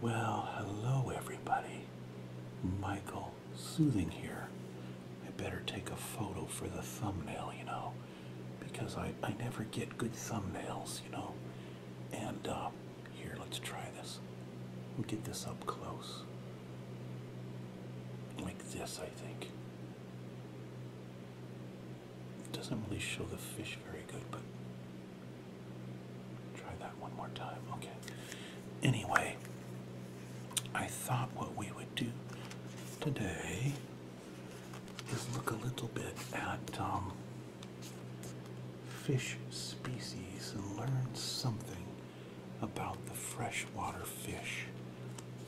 Well, hello everybody. Michael Soothing here. I better take a photo for the thumbnail, you know, because I, I never get good thumbnails, you know. And uh, here, let's try this. We'll get this up close. Like this, I think. doesn't really show the fish very good, but Try that one more time. Okay. Anyway, I thought what we would do today is look a little bit at um, fish species and learn something about the freshwater fish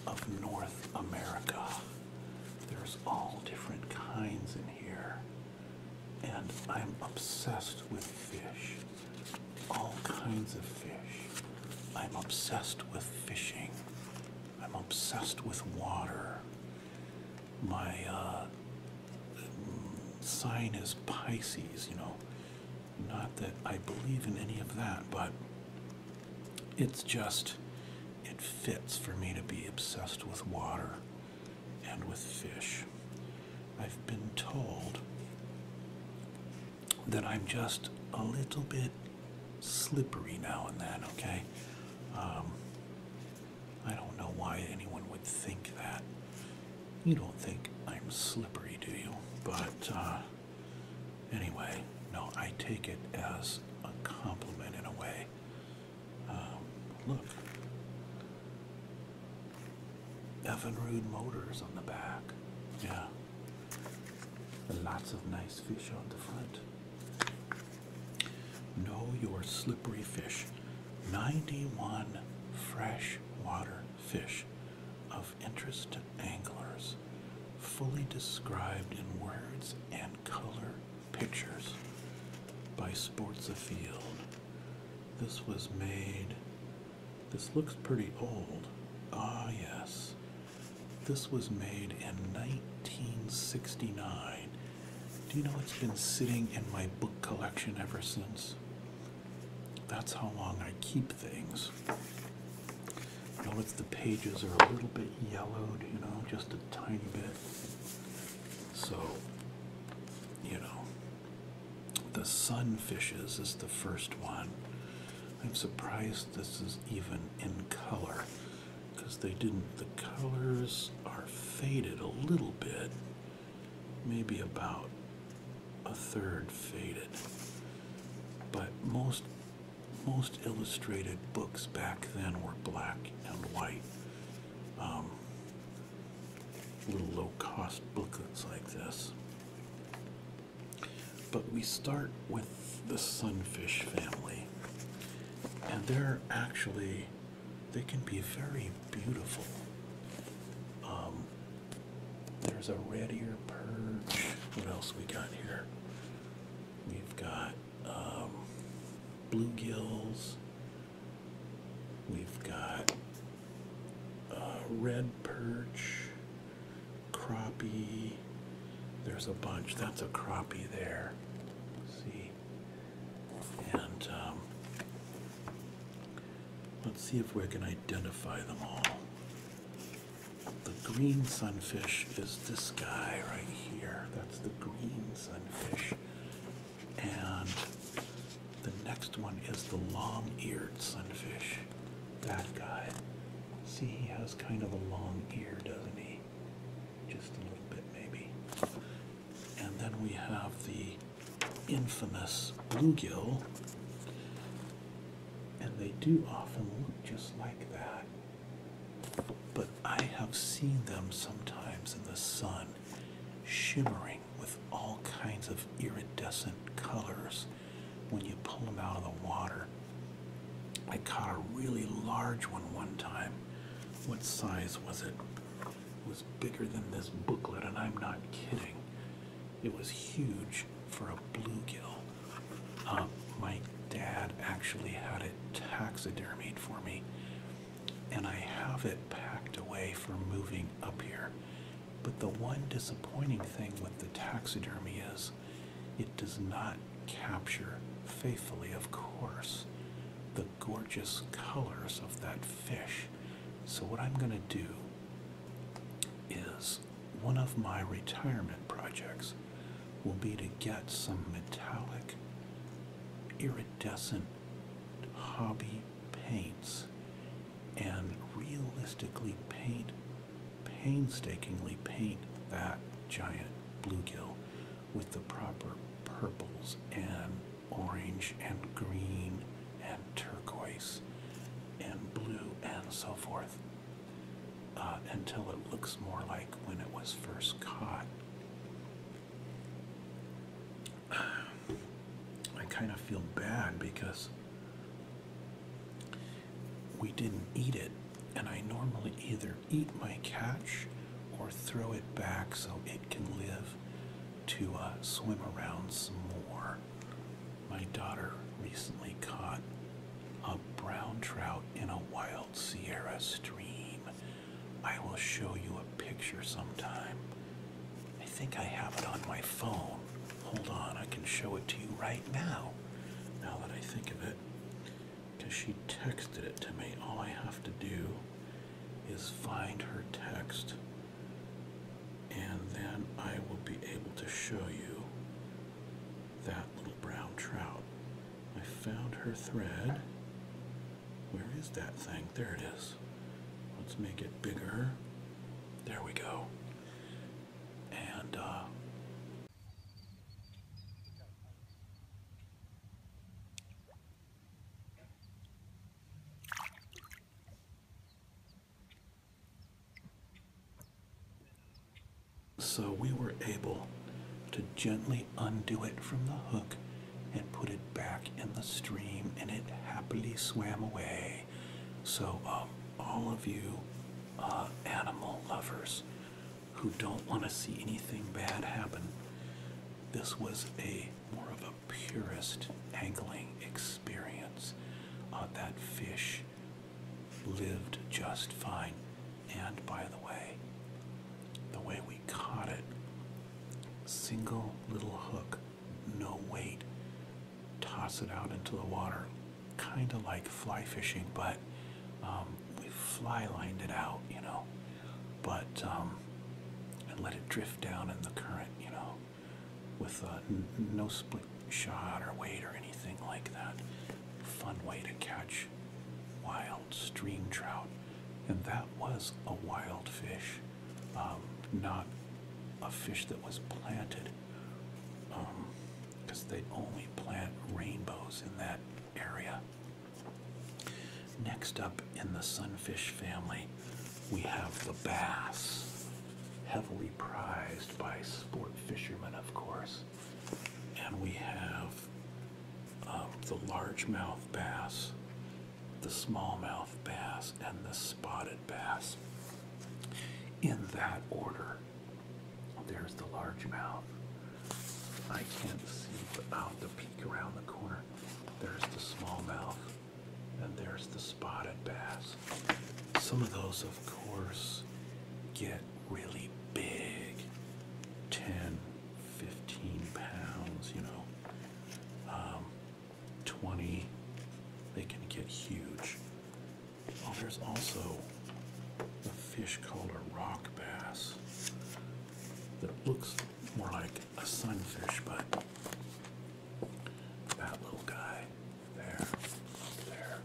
of North America. There's all different kinds in here and I'm obsessed with fish. All kinds of fish. I'm obsessed with fishing. I'm obsessed with water. My uh, mm, sign is Pisces, you know. Not that I believe in any of that, but it's just, it fits for me to be obsessed with water and with fish. I've been told that I'm just a little bit slippery now and then, okay? Um, I don't know why anyone would think that. You don't think I'm slippery, do you? But uh, anyway, no, I take it as a compliment in a way. Um, look. Evinrude Motors on the back. Yeah. lots of nice fish on the front. Know your slippery fish. 91 freshwater fish of interest to anglers, fully described in words and color Pictures by Sports Afield. This was made. This looks pretty old. Ah, yes. This was made in 1969. Do you know it's been sitting in my book collection ever since? That's how long I keep things. Notice the pages are a little bit yellowed, you know, just a tiny bit. So, you know, the sunfishes is the first one. I'm surprised this is even in color because they didn't, the colors are faded a little bit, maybe about a third faded. But most most illustrated books back then were black and white. Um, little low cost booklets like this. But we start with the sunfish family, and they're actually, they can be very beautiful. Um, there's a red ear perch. What else we got here? We've got um, bluegills, We've got uh, red perch, crappie. There's a bunch. That's a crappie there. see, and um, let's see if we can identify them all. The green sunfish is this guy right here. That's the green sunfish. And the next one is the long eared sunfish. That guy. See, he has kind of a long ear, doesn't he? Just a little bit, maybe. And then we have the infamous bluegill. And they do often look just like that. But I have seen them sometimes in the sun shimmering with all kinds of iridescent colors when you pull them out of the water. I caught a really large one one time. What size was it? It was bigger than this booklet, and I'm not kidding. It was huge for a bluegill. Uh, my dad actually had it taxidermied for me and I have it packed away for moving up here. But the one disappointing thing with the taxidermy is it does not capture faithfully, of course, the gorgeous colors of that fish. So, what I'm going to do is one of my retirement projects will be to get some metallic, iridescent hobby paints and realistically paint, painstakingly paint that giant bluegill with the proper purples and orange and green and turquoise and blue and so forth uh, until it looks more like when it was first caught. I kind of feel bad because we didn't eat it, and I normally either eat my catch or throw it back so it can live to uh, swim around some more. My daughter recently caught a brown trout in a wild Sierra stream I will show you a picture sometime. I think I have it on my phone. Hold on, I can show it to you right now. Now that I think of it, because she texted it to me. All I have to do is find her text, and then I will be able to show you that little brown trout. I found her thread. Where is that thing? There it is. Let's make it bigger. There we go. And, uh, so we were able to gently undo it from the hook and put it back in the stream, and it happily swam away. So, um, all of you uh, animal lovers who don't want to see anything bad happen, this was a more of a purist angling experience. Uh, that fish lived just fine. And by the way, the way we caught it, single little hook no weight. Toss it out into the water, kind of like fly fishing, but um, we fly lined it out, you know, but um, and let it drift down in the current, you know, with uh, no split shot or weight or anything like that. Fun way to catch wild stream trout, and that was a wild fish. Um, not a fish that was planted, because um, they only plant rainbows in that area. Next up in the sunfish family, we have the bass, heavily prized by sport fishermen, of course. And we have um, the largemouth bass the smallmouth bass, and the spotted bass. In that order, there's the largemouth. I can't see, without the peek around the corner, there's the smallmouth, and there's the spotted bass. Some of those, of course, get really big fifteen pounds, you know. Um, 20. They can get huge. Oh, there's also a fish called a rock bass that looks more like a sunfish, but that little guy there, there,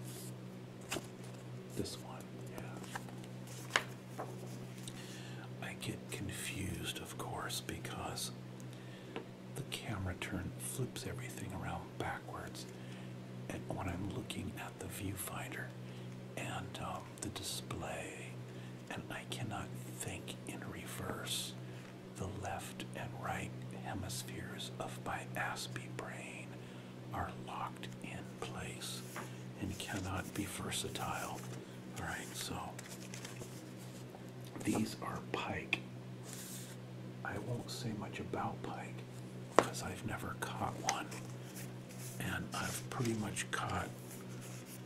this one, yeah. I get confused, of course, because the camera turn flips everything around backwards and when I'm looking at the viewfinder and um, the display and I cannot think in reverse the left and right hemispheres of my Aspie brain are locked in place and cannot be versatile. Alright, so these are pike. I won't say much about pike because I've never caught one. And I've pretty much caught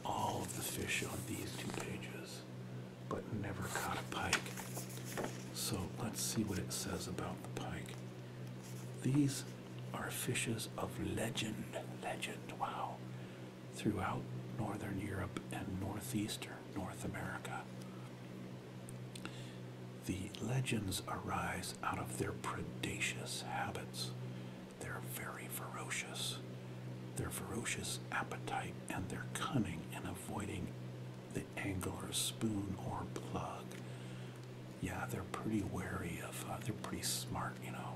all of the fish on these two pages, but never caught a pike. So let's see what it says about the pike. These are fishes of legend. Legend, wow throughout northern Europe and northeastern North America. The legends arise out of their predaceous habits. They're very ferocious. Their ferocious appetite and their cunning in avoiding the angler's spoon or plug. Yeah, they're pretty wary of, uh, they're pretty smart, you know.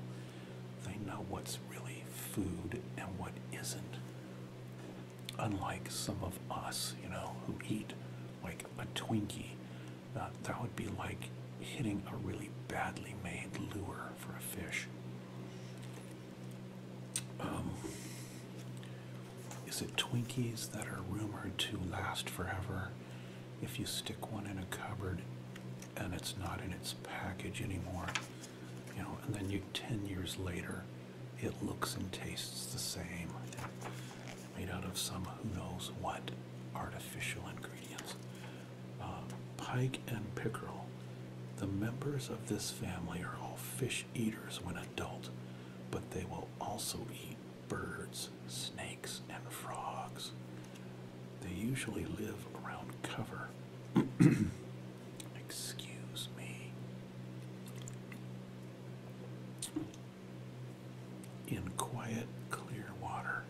They know what's really food and what isn't. Unlike some of us, you know, who eat like a Twinkie, uh, that would be like hitting a really badly made lure for a fish. Um, is it Twinkies that are rumored to last forever? If you stick one in a cupboard and it's not in its package anymore, you know, and then you 10 years later, it looks and tastes the same, made out of some who knows what artificial ingredients. Uh, pike and pickerel. The members of this family are all fish eaters when adult, but they will also eat birds, snakes, and frogs. They usually live around cover Excuse me. In quiet, clear water,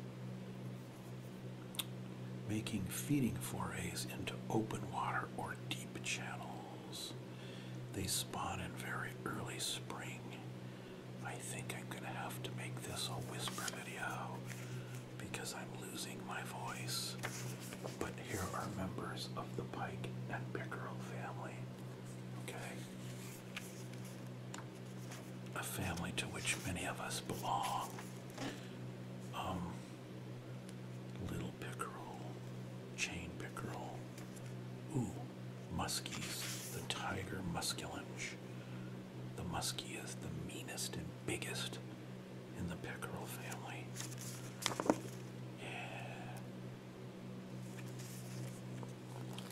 making feeding forays into open water or deep channels. They spawn in very early spring. I think I'm going to have to make this a whisper video because I'm losing my voice. But here are members of the Pike and Pickerel family. Okay? A family to which many of us belong. Um, little Pickerel, Chain Pickerel. Ooh, muskies, the tiger musculinch. The muskie is the meanest and biggest in the Pickerel family. Yeah.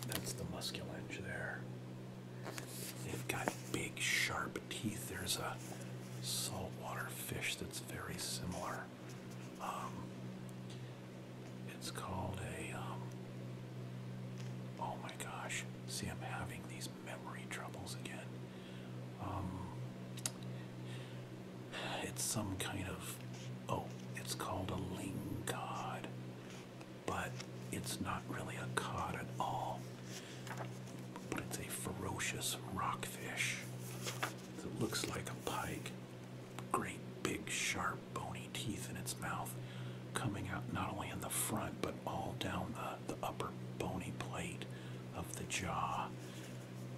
That's the muskellunge there. They've got big, sharp teeth. There's a saltwater fish that's very similar. Um, it's called a. Um, oh my gosh! See, I'm having these memory troubles again. Um, it's some kind of oh, it's called a ling cod, but it's not really a cod at all. But it's a ferocious rockfish. that looks like a pike. Great big sharp bony teeth in its mouth coming out not only in the front but all down the, the upper bony plate of the jaw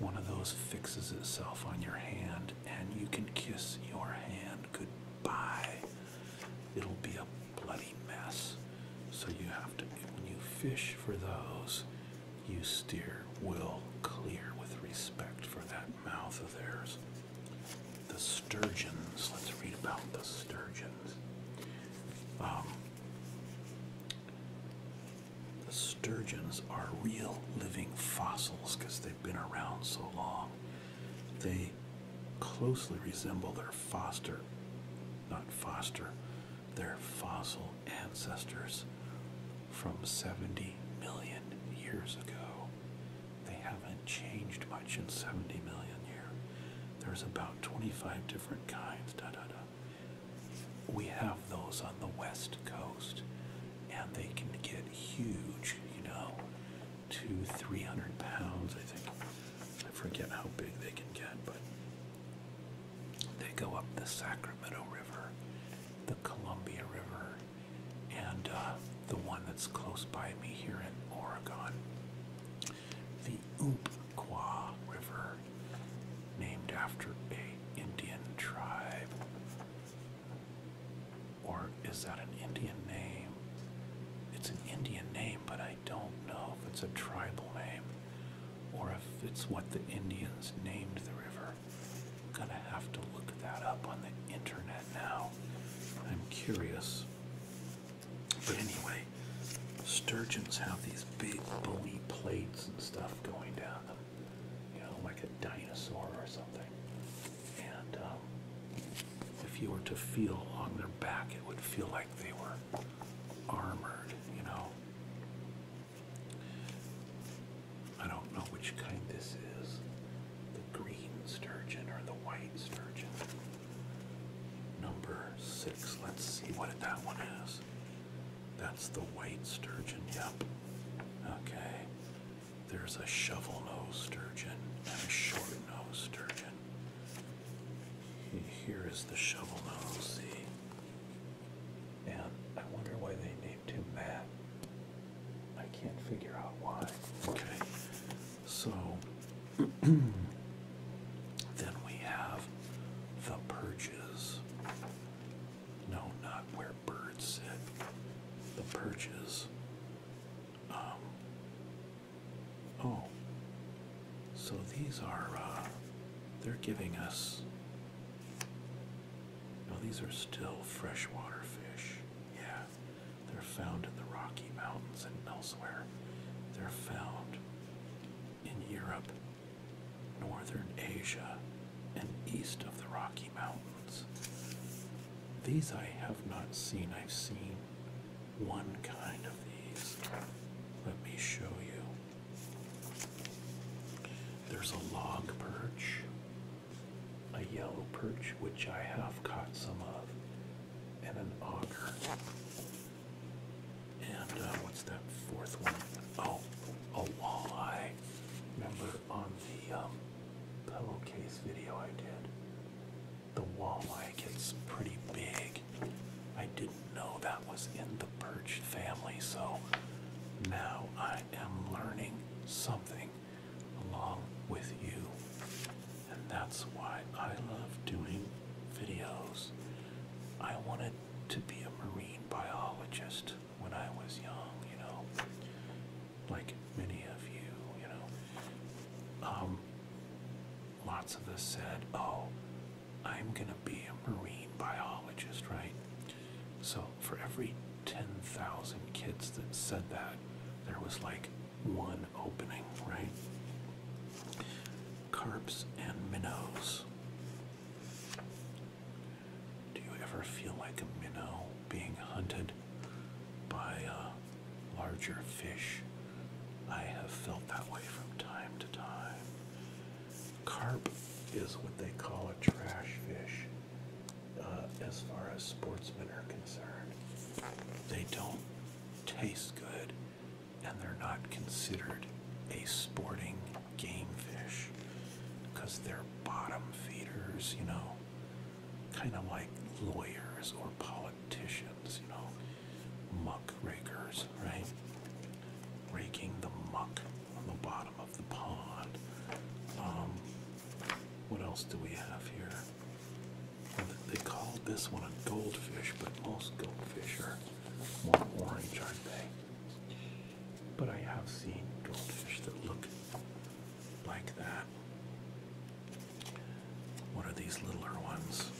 one of those fixes itself on your hand and you can kiss your hand goodbye. It'll be a bloody mess. So you have to, when you fish for those, you steer well clear with respect for that mouth of theirs. The sturgeons, let's read about the sturgeons. Um, the sturgeons are real living fossils because they've been around so long. They closely resemble their foster, not foster, their fossil ancestors from 70 million years ago. They haven't changed much in 70 million years. There's about 25 different kinds. Da, we have those on the west coast and they can get huge you know two three hundred pounds i think i forget how big they can get but they go up the sacramento river the columbia river and uh, the one that's close by me here in oregon the Umpqua River named after a Indian tribe. Or is that an Indian name? It's an Indian name, but I don't know if it's a tribal name or if it's what the Indians named the river. I'm gonna have to look that up on the internet now. I'm curious. But anyway, sturgeons have these big bony plates and stuff going down them you know, like a dinosaur or something. And um, if you were to feel along their back, it would feel like they were armored, you know. I don't know which kind this is the green sturgeon or the white sturgeon. Number six, let's see what that one is. That's the white sturgeon, yep. Okay. There's a shovel nose sturgeon and a short nose sturgeon. Here is the shovel nose, see? And I wonder why they named him Matt. I can't figure out why. Okay. So then we have the purges. No, not where birds sit. The perches. Um, oh, so these are, uh, they're giving us. No, these are still freshwater fish. Yeah, they're found in the Rocky Mountains and elsewhere. They're found in Europe northern Asia, and east of the Rocky Mountains. These I have not seen. I've seen one kind of these. Let me show you. There's a log perch, a yellow perch, which I have caught some of, and an auger. And uh, what's that fourth one? Oh, a walleye. Remember on the um, pillowcase video I did, the walleye gets pretty big. I didn't know that was in the perch family, so now I am learning something along with you. And that's why I love doing videos. I wanted to be a marine biologist when I was young, you know, like many of you, you know. Um, lots of us said, oh, I'm going to be a marine biologist, right? So for every 10,000 kids that said that, there was like one opening, right? Carps and minnows. Do you ever feel like a minnow being hunted by a larger fish? I have felt that way from time to time. Carp is what they call a trash fish uh, as far as sportsmen are concerned. They don't taste good and they're not considered a sporting game fish because they're bottom feeders, you know, kind of like lawyers or politicians, you know, muck rakers, right? Raking the muck on the bottom of the pond. Um, what else do we have here? they call this one a goldfish, but most goldfish are more orange, aren't they? but I have seen goldfish that look like that. What are these littler ones?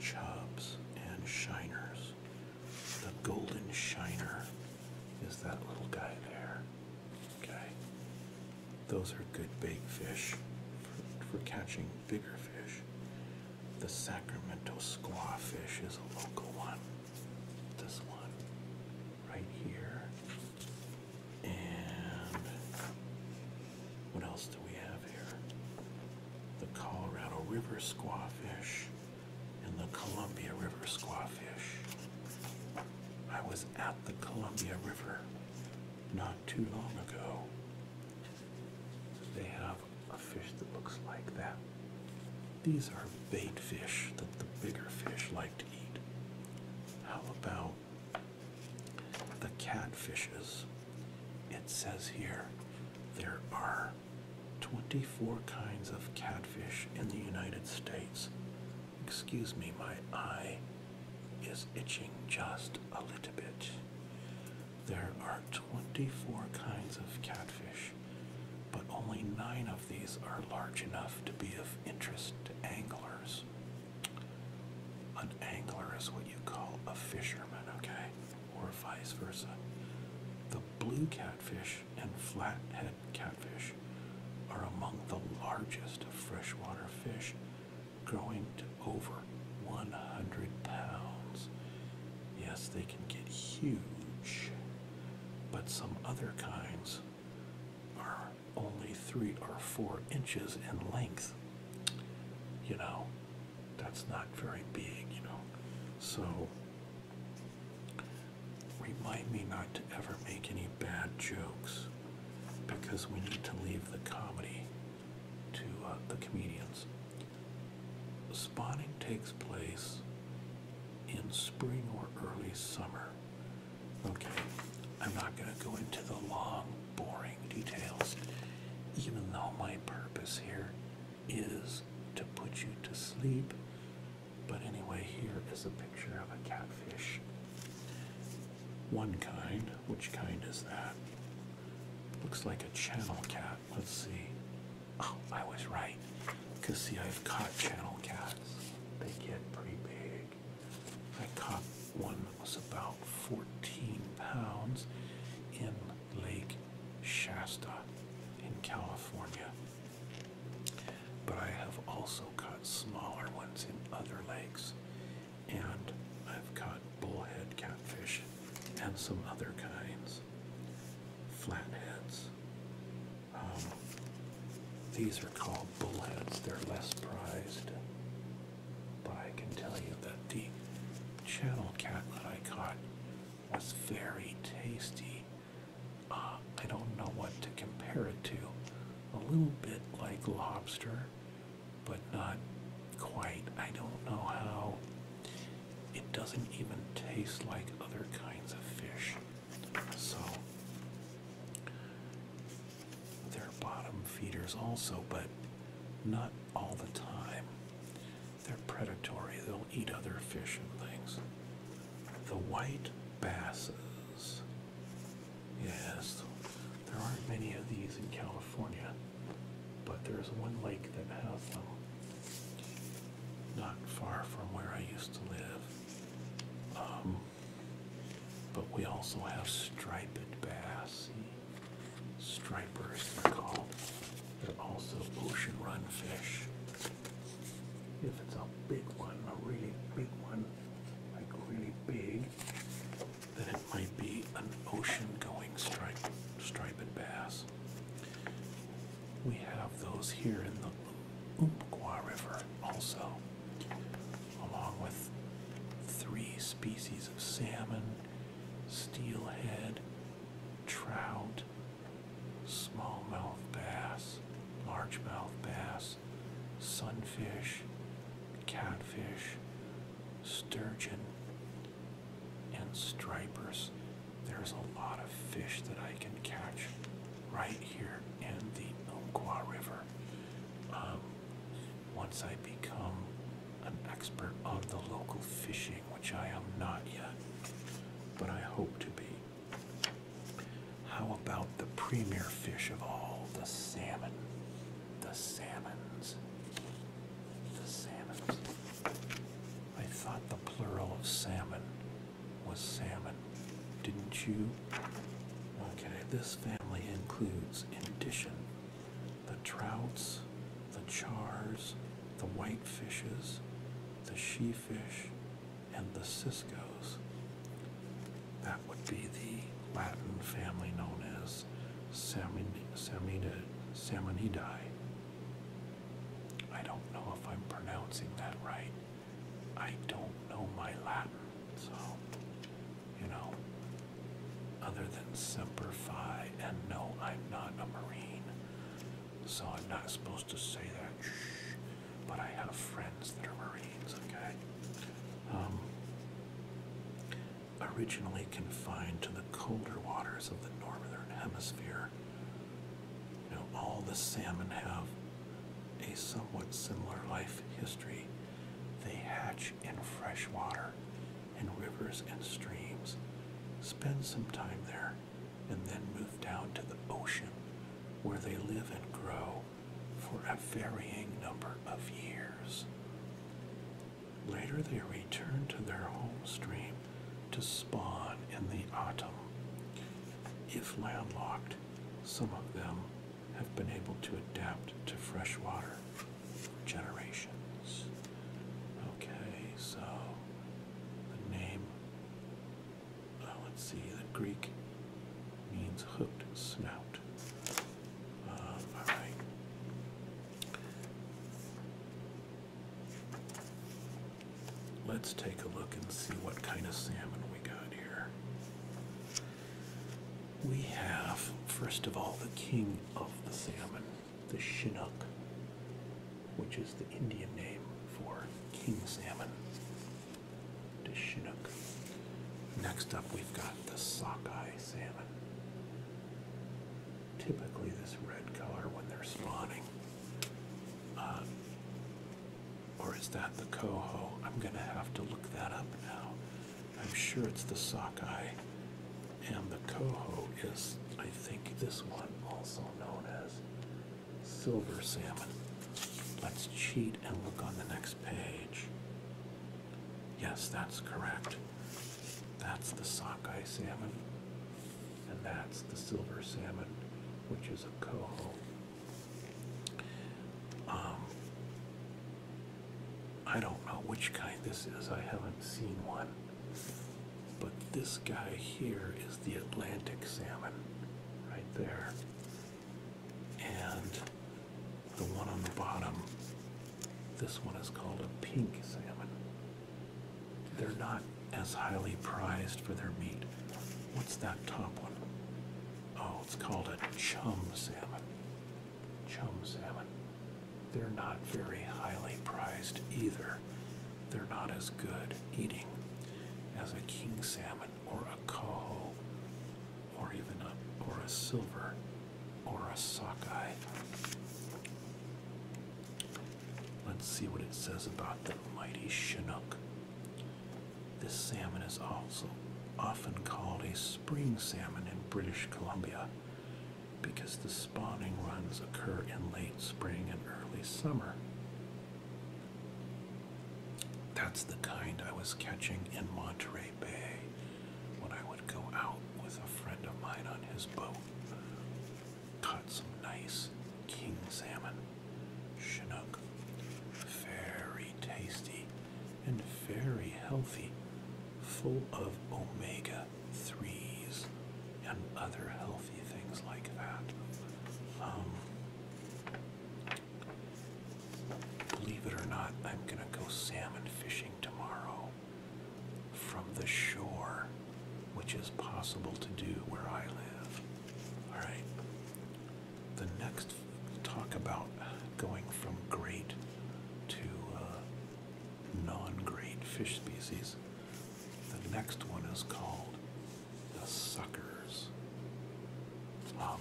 Chubs and shiners. The golden shiner is that little guy there. Okay. Those are good bait fish for, catching bigger fish. The Sacramento squawfish is a local one this one right here. And what else do we have here? The Colorado River squawfish and the Columbia River squawfish. I was at the Columbia River not too long ago. They have a fish that looks like that. These are bait fish that the bigger fish like to eat. How about the catfishes? It says here there are 24 kinds of catfish in the United States. Excuse me, my eye is itching just a little bit. There are 24 kinds of catfish but only nine of these are large enough to be of interest to anglers. An angler is what you call a fisherman, okay? Or vice versa. The blue catfish and flathead catfish are among the largest of freshwater fish, growing to over 100 pounds Yes, they can get huge, but some other kinds are only three or four inches in length. You know, that's not very big, you know. So, remind me not to ever make any bad jokes because we need to leave the comedy to uh, the comedians. Spawning takes place in spring or early summer. Okay, I'm not going to go into the long, boring details, even though my purpose here is to put you to sleep. But anyway, here is a picture of a catfish. One kind. Which kind is that? Looks like a channel cat. Let's see. Oh, I was right. Because, see, I've caught channel cats. They get pretty big. I caught one that was about 14 pounds in Lake Shasta in California. But I have also caught smaller ones in other lakes. And I've caught bullhead catfish and some other kinds. Flatheads. Um, these are called bullheads, they're less prized. But I can tell you that the channel cat that I caught was very tasty. Um, I don't know what to compare it to. A little bit like lobster, but not quite. I don't know how. It doesn't even taste like other kinds of fish. So they're bottom feeders also, but not all the time. They're predatory, they'll eat other fish and things. The white basses. Yes, there aren't many of these in California, but there's one lake that has them not far from where I used to live. Um, but we also have striped bass, strippers they're called. They're also ocean run fish. If it's a big one, a really big one, like really big, then it might be an ocean going striped, striped bass. We have those here in the Umpqua River also, along with three species of salmon, steelhead, trout, smallmouth bass, largemouth bass, sunfish, catfish, sturgeon, and stripers there's a lot of fish that I can catch right here in the Umpqua River. Um, once I become an expert on the local fishing, which I am not yet, but I hope to be. How about the premier fish of all, the salmon? The salmons. The salmons. I thought the plural of salmon was salmon. Didn't you? Okay, this family includes, in addition, the trouts, the chars, the white fishes, the she fish, and the ciscos. That would be the Latin family known as Salmonidae. Salmonidae. I don't know if I'm pronouncing that right. I don't know my Latin, so you know, other than semper fi, and no, I'm not a Marine, so I'm not supposed to say that. Shh, but I have friends that are Marines, okay? Um, originally confined to the colder waters of the northern hemisphere where all the salmon have a somewhat similar life history. They hatch in fresh water, in rivers and streams, spend some time there, and then move down to the ocean where they live and grow for a varying number of years. Later they return to their home stream to spawn in the autumn if landlocked, some of them have been able to adapt to freshwater. for generations. Okay, so the name, uh, let's see, the Greek means hooked snout. Um, all right. Let's take a look and see what kind of salmon we got here. We have, first of all, the king of the salmon, the Chinook, which is the Indian name for king salmon. The Chinook. Next up, we've got the sockeye salmon. Typically, this red color when they're spawning. Uh, or is that the coho? I'm going to have to look that up now. I'm sure it's the sockeye. And the coho is, I think, this one, also known as silver salmon. Let's cheat and look on the next page. Yes, that's correct. That's the sockeye salmon, and that's the silver salmon, which is a coho. Um, I don't know which kind this is, I haven't seen one. But this guy here is the Atlantic salmon, right there. And the one on the bottom, this one is called a pink salmon. They're not as highly prized for their meat. What's that top one? Oh, it's called a chum salmon. Chum salmon. They're not very highly prized either. They're not as good eating as a king salmon or a coho or even a or a silver or a sockeye. Let's see what it says about the mighty Chinook. This salmon is also often called a spring salmon in British Columbia because the spawning runs occur in late spring and early summer. That's the kind I was catching in Monterey Bay when I would go out with a friend of mine on his boat. Caught some nice king salmon. Shinook, Very tasty and very healthy, full of omega 3s and other healthy things like that. Um, believe it or not, I'm going to go salmon fishing tomorrow from the shore, which is possible to do where I live. Alright, the next talk about going from great to uh, non-great fish species. The next one is called the suckers. Um,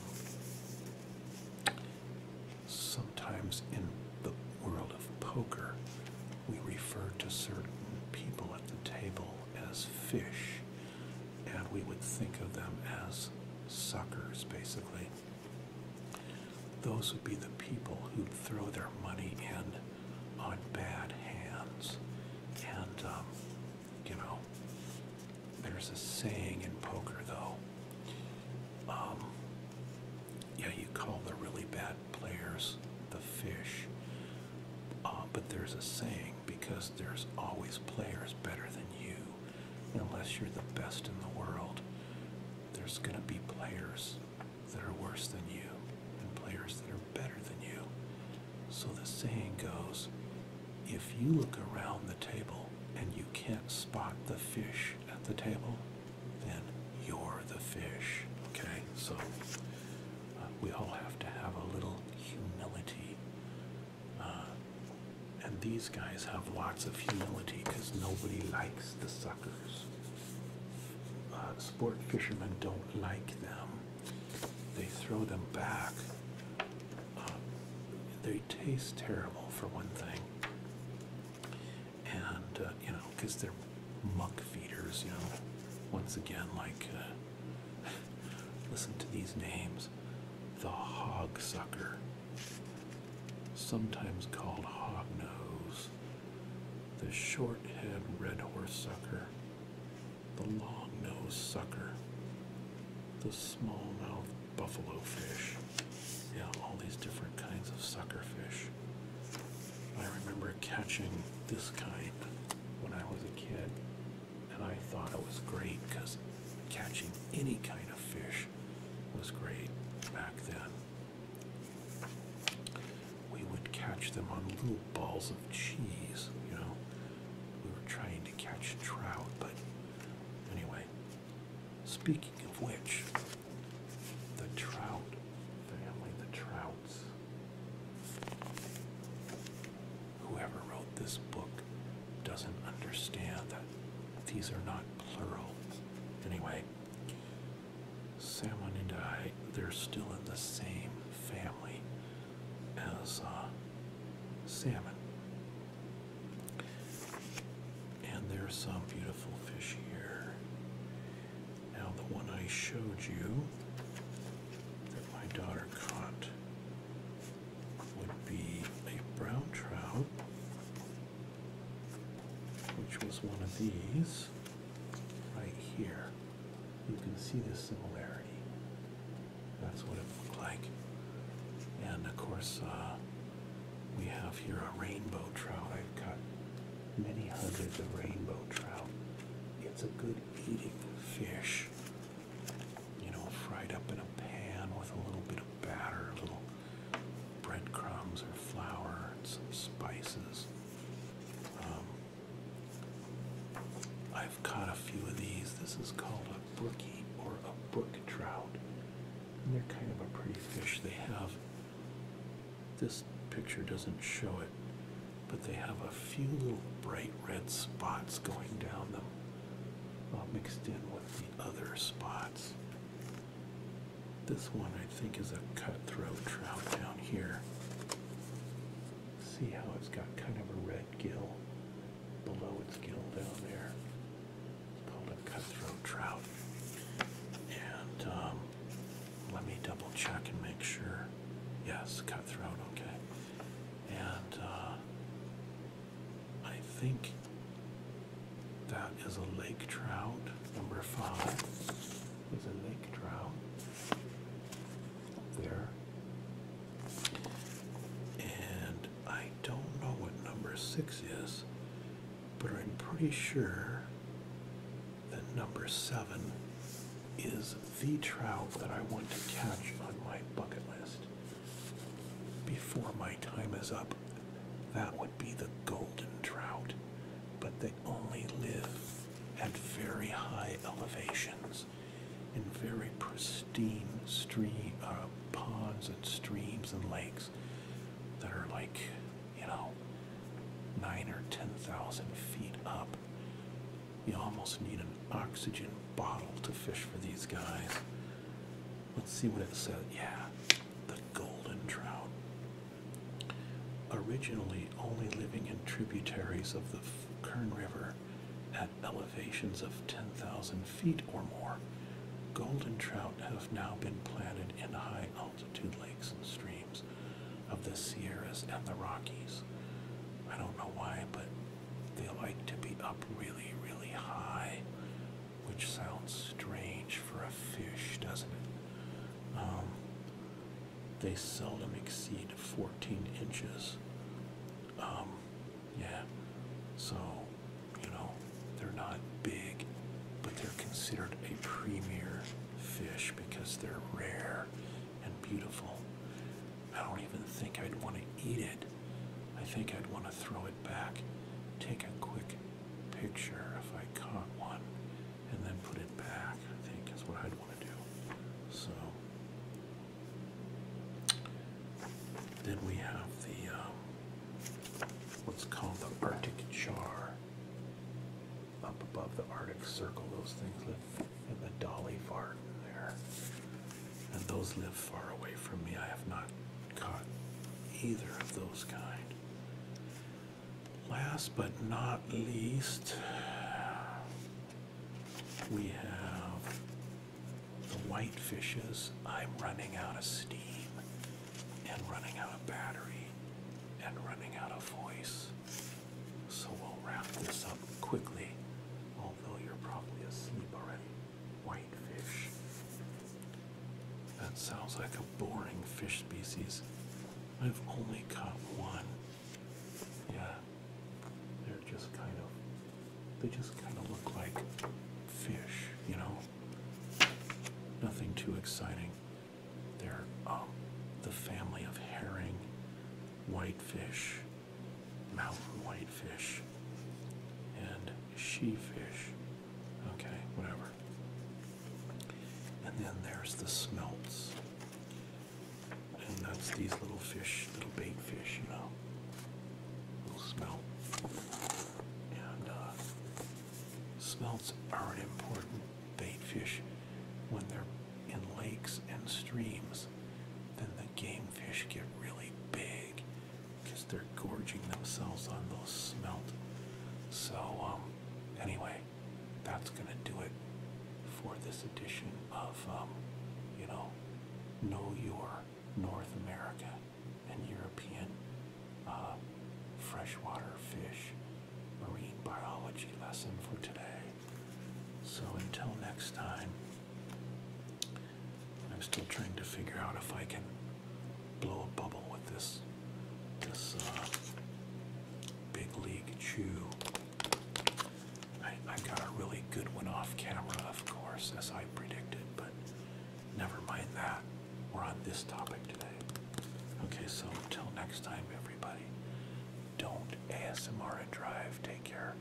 sometimes in the world of poker, we refer to certain people at the table as fish, and we would think of them as suckers, basically. Those would be the people who'd throw their money in on bad hands. And, um, you know, there's a saying in poker, though. Um, yeah, you call the really bad players the fish, uh, but there's a saying because there's always players better than you. Unless you're the best in the world, there's going to be players that are worse than you and players that are better than you. So the saying goes if you look around the table and you can't spot the fish at the table, then you're the fish. Okay? So uh, we all have to have a little humility uh, and these guys have lots of humility because nobody likes the suckers. Uh, sport fishermen don't like them. They throw them back. Uh, they taste terrible for one thing. And, you know, because they're muck feeders, you know, once again, like Listen to these names. The hog sucker, sometimes called hog nose, the short head red horse sucker, the long nose sucker, the small mouth buffalo fish. Yeah, all these different kinds of sucker fish. I remember catching this kind when I was a kid and I thought it was great because catching any kind of fish was great back then. We would catch them on little balls of cheese, you know. We were trying to catch trout, but anyway, speaking of which, the trout family, the trouts whoever wrote this book doesn't understand that these are not plural. Anyway, salmon and i they're still in the same family as uh, salmon. And there's some beautiful fish here. Now, the one I showed you that my daughter caught would be a brown trout, which was one of these right here. You can see the similarity. That's what it looked like. And of course, uh, we have here a rainbow trout. I've got many hundreds of rainbow trout. It's a good eating fish you know, fried up in a pan with a little bit of batter, a little breadcrumbs or flour and some spices. Um, I've caught a few of these. This is called a brookie or a brook trout. they're kind of a pretty fish. They have, this picture doesn't show it, but they have a few little bright red spots going down them uh, mixed in with the other spots. This one I think is a cutthroat trout down here. See how it's got kind of a red gill below its gill down there. It's called a cutthroat trout. And um, let me double check and make sure. Yes, cutthroat, okay. And uh, I think that is a lake trout. Number five is a lake trout there. And I don't know what number six is, but I'm pretty sure that number seven is the trout that I want to catch on my bucket list before my time is up, that would be the golden trout, but they only live at very high elevations in very pristine uh, ponds and streams and lakes that are like you know nine or ten thousand feet up we almost need an oxygen bottle to fish for these guys. Let's see what it says. Yeah, the golden trout. Originally only living in tributaries of the Kern River at elevations of 10,000 feet or more, golden trout have now been planted in high altitude lakes and streams of the Sierras and the Rockies. I don't know why, but they like to be up really, really high, which sounds strange for a fish, doesn't it? Um, they seldom exceed 14 inches. Um, yeah, so, you know, they're not big, but they're considered a premier fish because they're rare and beautiful. I don't even think I'd want to eat it. I think I'd want to throw it back, take a quick picture if I caught one, and then put it back, I think is what I'd want to do. So, then we have the um, what's called the Arctic char up above the Arctic Circle, those things live in the dolly fart there and those live far away from me. I have not caught either of those kind. Last but not least, we have the white fishes. I'm running out of steam and running out of battery and running out of voice. So we'll wrap this up quickly, although you're probably asleep already. Whitefish. That sounds like a boring fish species. I've only caught one. Yeah, they're just kind of, they just kind of look like fish, you know? Nothing too exciting. They're um, the family of herring, whitefish, mountain whitefish and she fish. Okay, whatever. And then there's the smelts. And that's these little fish, little bait fish, you know. Little smelt. Uh, smelts are an important bait fish when they're in lakes and streams. Then the game fish get really big because they're gorging themselves on those smelt. So, um, anyway, that's gonna do it for this edition of, um, you know, know your North America and European uh, freshwater fish marine biology lesson for today. So, until next time. I'm still trying to figure out if I can blow a bubble with this this uh, big league chew. I, I got a really good one off camera, of course, as I predicted, but never mind that. We're on this topic today. Okay, so until next time, everybody, don't ASMR and drive. Take care.